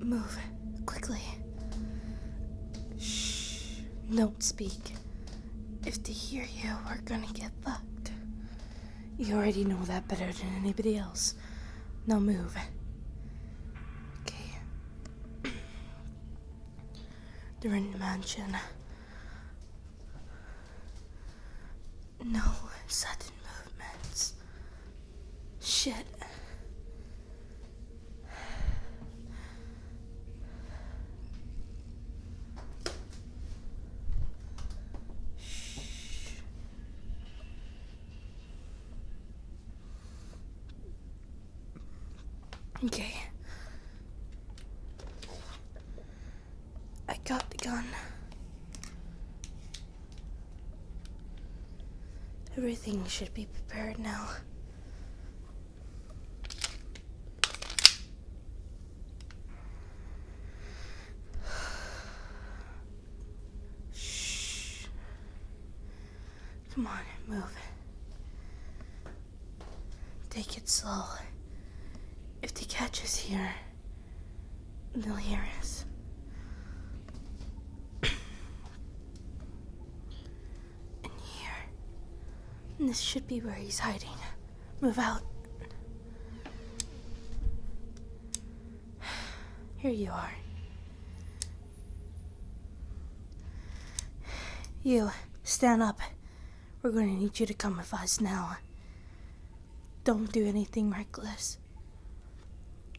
Move. Quickly. Shh. Don't speak. If they hear you, we're gonna get fucked. You already know that better than anybody else. Now move. Okay. They're in the mansion. No sudden movements. Shit. Okay. I got the gun. Everything should be prepared now. Shh. Come on, move. Take it slow. If they catch us here, they'll hear us. and here. And this should be where he's hiding. Move out. Here you are. You, stand up. We're going to need you to come with us now. Don't do anything reckless.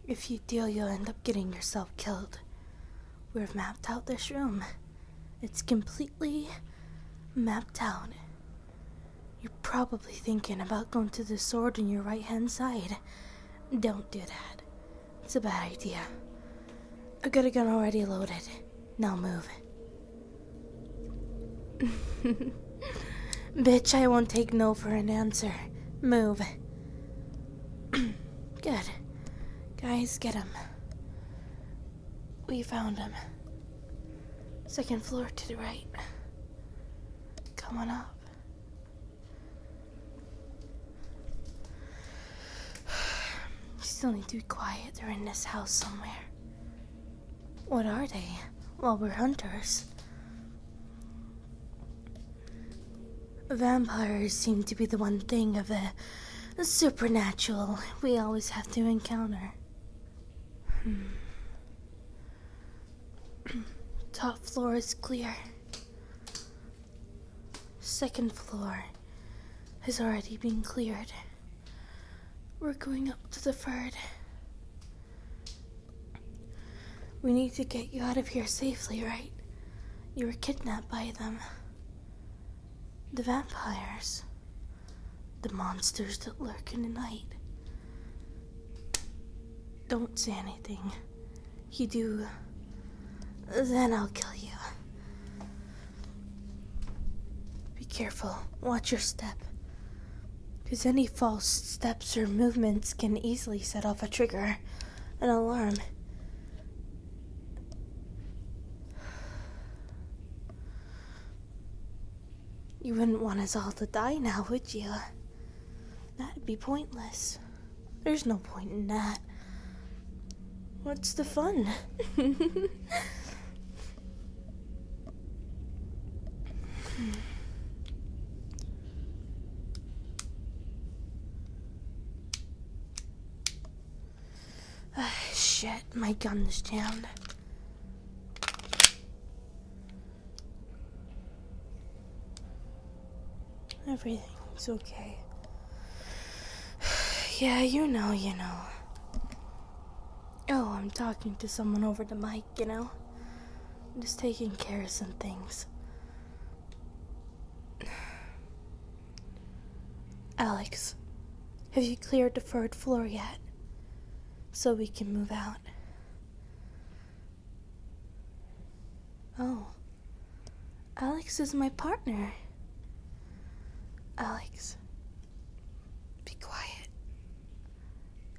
If you do, you'll end up getting yourself killed. We've mapped out this room. It's completely mapped out. You're probably thinking about going to the sword on your right hand side. Don't do that. It's a bad idea. I have got a gun already loaded. No move. Bitch, I won't take no for an answer. Move. Good. Guys, get him. We found him. Second floor to the right. Come on up still need to be quiet. They're in this house somewhere. What are they? Well, we're hunters. Vampires seem to be the one thing of the supernatural we always have to encounter. Hmm. Top floor is clear. Second floor has already been cleared. We're going up to the Ferd. We need to get you out of here safely, right? You were kidnapped by them. The vampires. The monsters that lurk in the night. Don't say anything. You do, then I'll kill you. Be careful. Watch your step. Because any false steps or movements can easily set off a trigger, an alarm. You wouldn't want us all to die now, would you? That'd be pointless. There's no point in that. What's the fun? Hmm. shit, my gun's down. Everything's okay. yeah, you know, you know. Oh, I'm talking to someone over the mic, you know? just taking care of some things. Alex, have you cleared the third floor yet? So we can move out. Oh. Alex is my partner. Alex. Be quiet.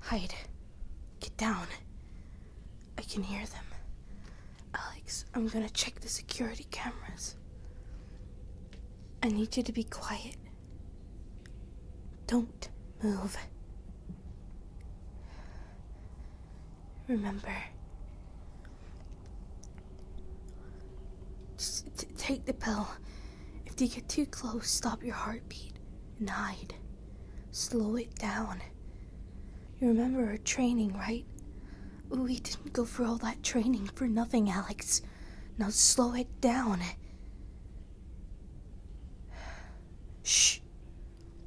Hide. Get down. I can hear them. Alex, I'm gonna check the security cameras. I need you to be quiet. Don't move. Remember, take the pill. If they get too close, stop your heartbeat and hide. Slow it down. You remember our training, right? We didn't go for all that training for nothing, Alex. Now slow it down. Shh.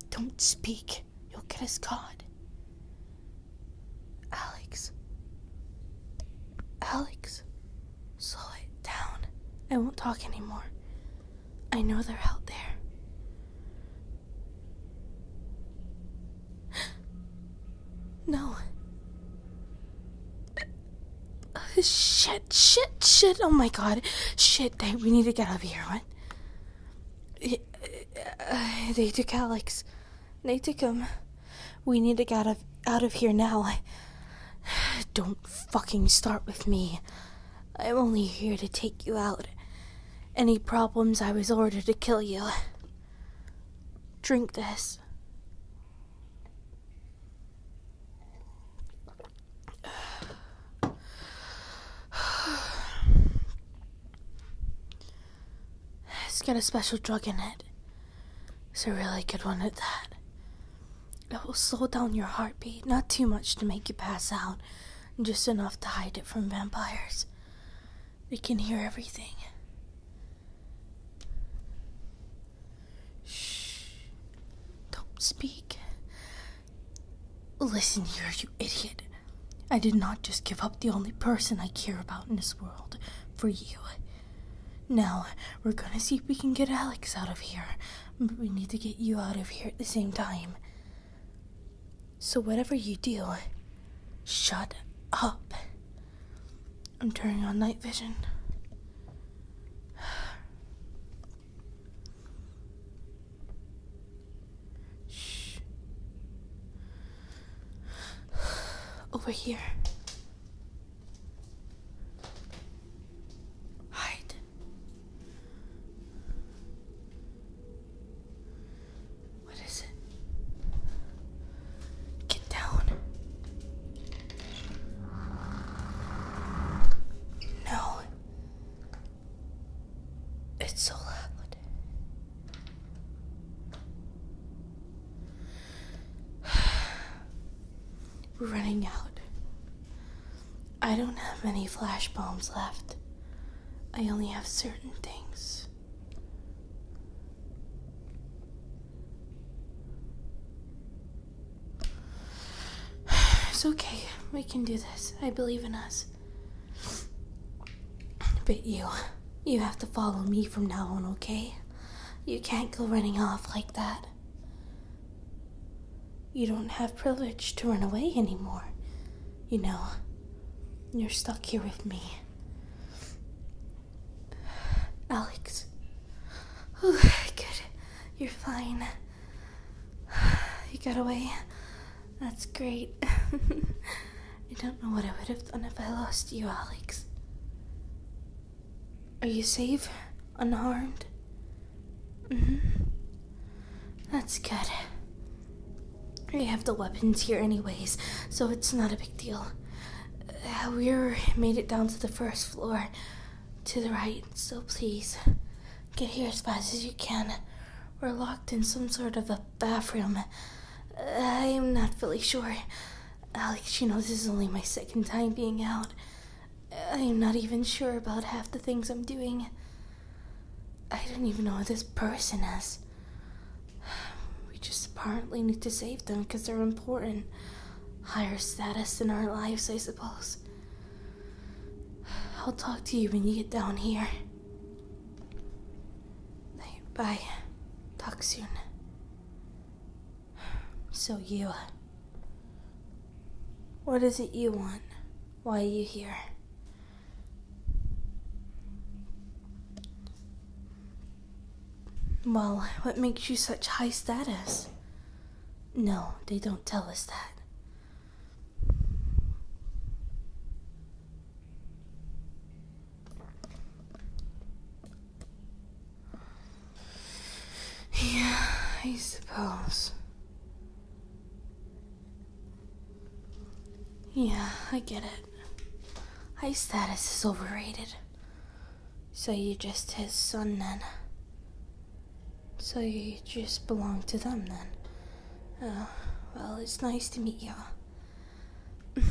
Don't speak. You'll get us caught. Alex. Alex. Slow it down. I won't talk anymore. I know they're out there. no. Uh, shit, shit, shit. Oh my god. Shit, they, we need to get out of here. What? Uh, they took Alex. Natikum, we need to get out of, out of here now. I, don't fucking start with me. I'm only here to take you out. Any problems, I was ordered to kill you. Drink this. It's got a special drug in it. It's a really good one at that. It will slow down your heartbeat, not too much to make you pass out, just enough to hide it from vampires. They can hear everything. Shh. Don't speak. Listen here, you idiot. I did not just give up the only person I care about in this world for you. Now, we're gonna see if we can get Alex out of here, but we need to get you out of here at the same time. So, whatever you do, shut up. I'm turning on night vision. Shh. Over here. Hide. What is it? Get down. No. It's so loud. We're running out. I don't have any flash bombs left. I only have certain things. It's okay. We can do this. I believe in us. But you, you have to follow me from now on, okay? You can't go running off like that. You don't have privilege to run away anymore. You know, you're stuck here with me. Alex. Oh, good. You're fine. You got away. That's great. I don't know what I would have done if I lost you, Alex. Are you safe? Unharmed? Mm-hmm. That's good. We have the weapons here anyways, so it's not a big deal. Uh, we made it down to the first floor, to the right, so please, get here as fast as you can. We're locked in some sort of a bathroom. Uh, I am not fully sure. Alex, you know this is only my second time being out. I'm not even sure about half the things I'm doing. I don't even know who this person is. We just apparently need to save them because they're important. Higher status in our lives, I suppose. I'll talk to you when you get down here. Bye. Talk soon. So you. What is it you want? Why are you here? Well, what makes you such high status? No, they don't tell us that. Yeah, I suppose. Yeah, I get it. High status is overrated. So you just his son then. So you just belong to them then. Oh, well, it's nice to meet y'all.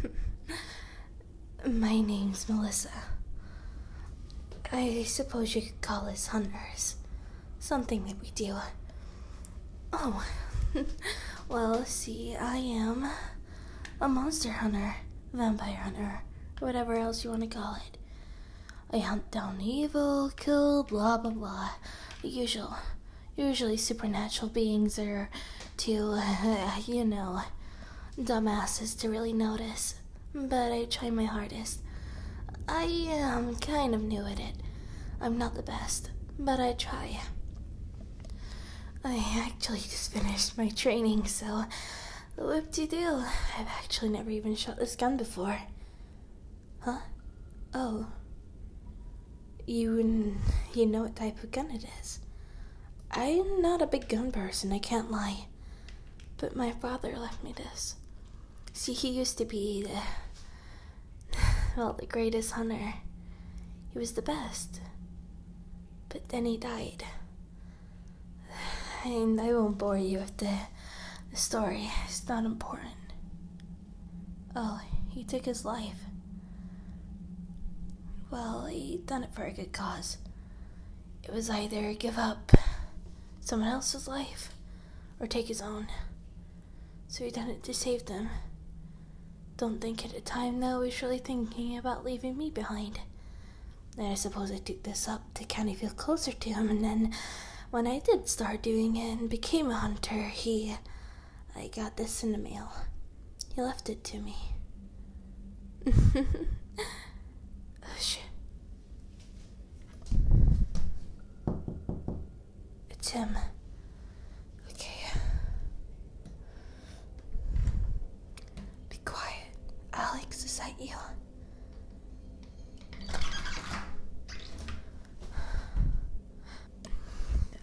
My name's Melissa. I suppose you could call us hunters. Something that we do. Oh, well, see, I am a monster hunter, vampire hunter, whatever else you want to call it. I hunt down evil, kill, blah, blah, blah. The usual. Usually supernatural beings are to, you know, dumbasses to really notice, but I try my hardest. I am um, kind of new at it. I'm not the best, but I try. I actually just finished my training, so whoop-de-doo. I've actually never even shot this gun before. Huh? Oh. You, you know what type of gun it is. I'm not a big gun person, I can't lie. But my father left me this. See, he used to be the, well, the greatest hunter. He was the best. But then he died. And I won't bore you with the, story, it's not important. Oh, he took his life. Well, he done it for a good cause. It was either give up someone else's life or take his own. So he done it to save them. Don't think at the time though he was really thinking about leaving me behind. Then I suppose I took this up to kind of feel closer to him, and then when I did start doing it and became a hunter, he. I got this in the mail. He left it to me. Oh, it's him. Okay. Be quiet. Alex, is that you?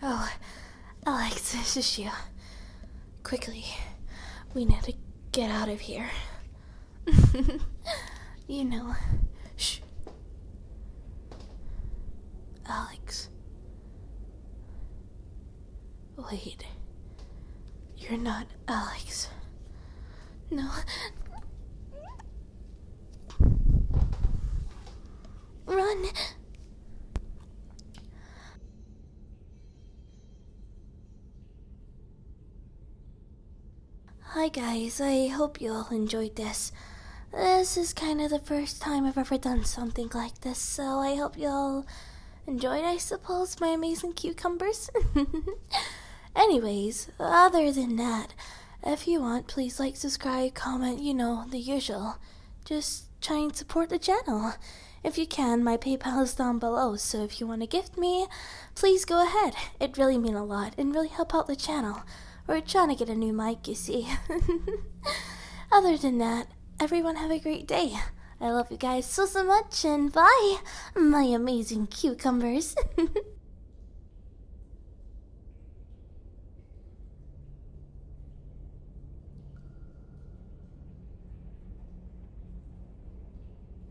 Oh, Alex, this is you. Quickly, we need to get out of here. you know. Shh. Alex. Wait. You're not Alex. No. Run! Hi guys, I hope you all enjoyed this. This is kind of the first time I've ever done something like this, so I hope you all enjoyed, I suppose, my amazing cucumbers. Anyways, other than that, if you want, please like, subscribe, comment, you know, the usual. Just try and support the channel. If you can, my PayPal is down below, so if you want to gift me, please go ahead. it really mean a lot and really help out the channel. We're trying to get a new mic, you see. Other than that, everyone have a great day. I love you guys so, so much, and bye, my amazing cucumbers.